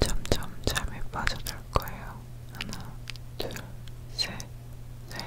점점 잠에 빠져들 거예요. 하나, 둘, 셋, 넷.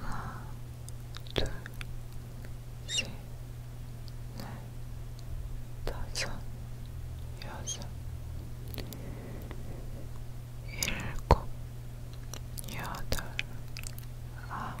하나, 둘, 셋, 넷, 다섯, 여섯, 일곱, 여덟, 아홉.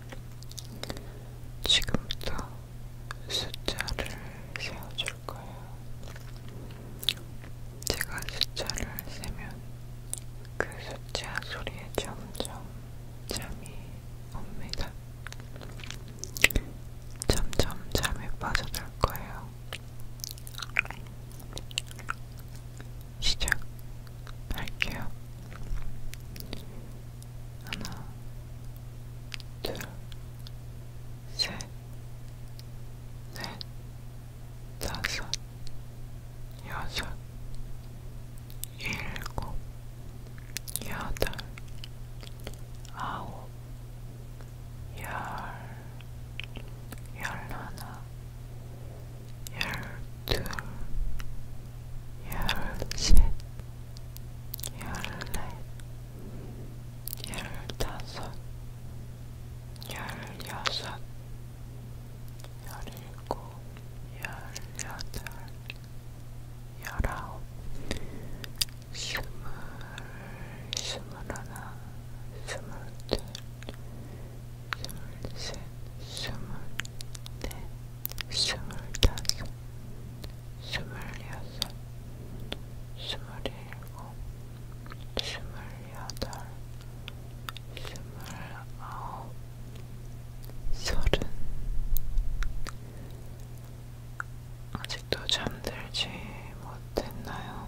지금부터 숫자를 세워줄 거예요. 제가 숫자를 세면 그 숫자 소리에 점점 잠이 옵니다. 점점 잠에 빠져들 거예요. 시작할게요. 하나, 둘, 셋, 넷, 다섯, 여섯, 일곱, 여덟, 아홉, 열, 열하나, 열둘, 열셋, 열넷, 열다섯, 열여섯, 열일곱, 열여덟, 열아홉, 스물, 스물하나, 스물둘, 둘셋 스물 넷 스물 다섯 스물 여섯 스물 일곱 스물 여덟 스물 아홉 서른 아직도 잠들지 못했나요?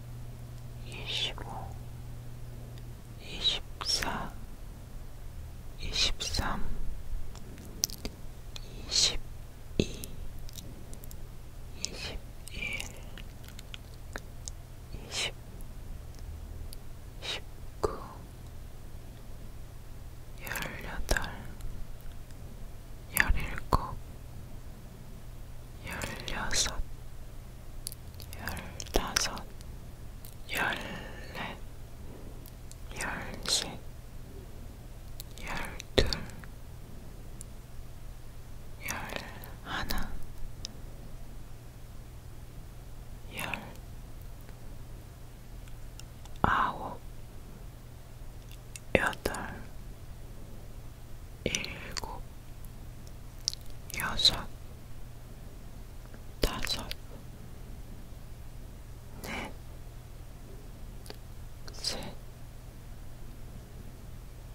이십오, 이십사, 이십삼, 이십이, 이십일, 이십, 십구, 열여덟, 열일곱, 열여섯, 열다섯, 열넷, 열셋, 열둘, 열하나, 열 아홉, 여덟, 일곱, 여섯, 다섯, 넷, 셋,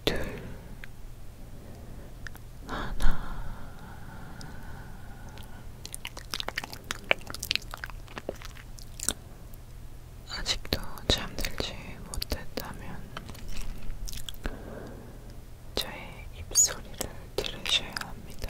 둘, 하나. 아직도 잠들지 못했다면 저의 입소리를 들으셔야 합니다.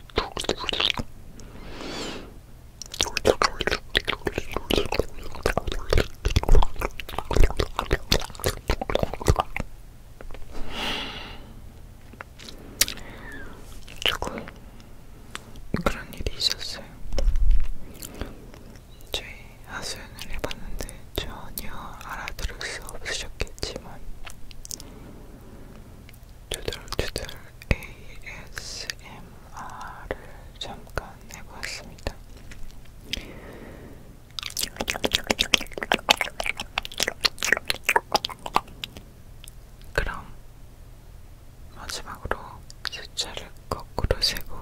조금 그런 일이 있었어요. 저희 하소연을 해봤는데 전혀 알아들을 수 없으셨겠지만 두들두들 ASMR을 잠깐 해보았습니다. 그럼 마지막으로 숫자를 거꾸로 세고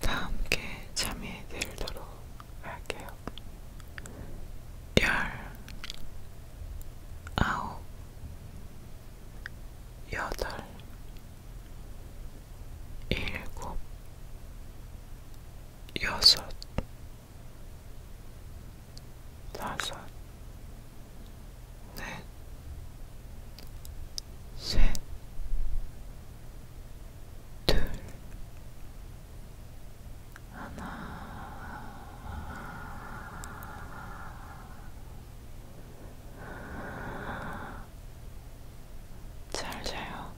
다 함께 잠이 들도록 할게요. 열 아홉 여덟 일곱 여섯 다섯 넷 셋, 둘, 하나 잘 자요.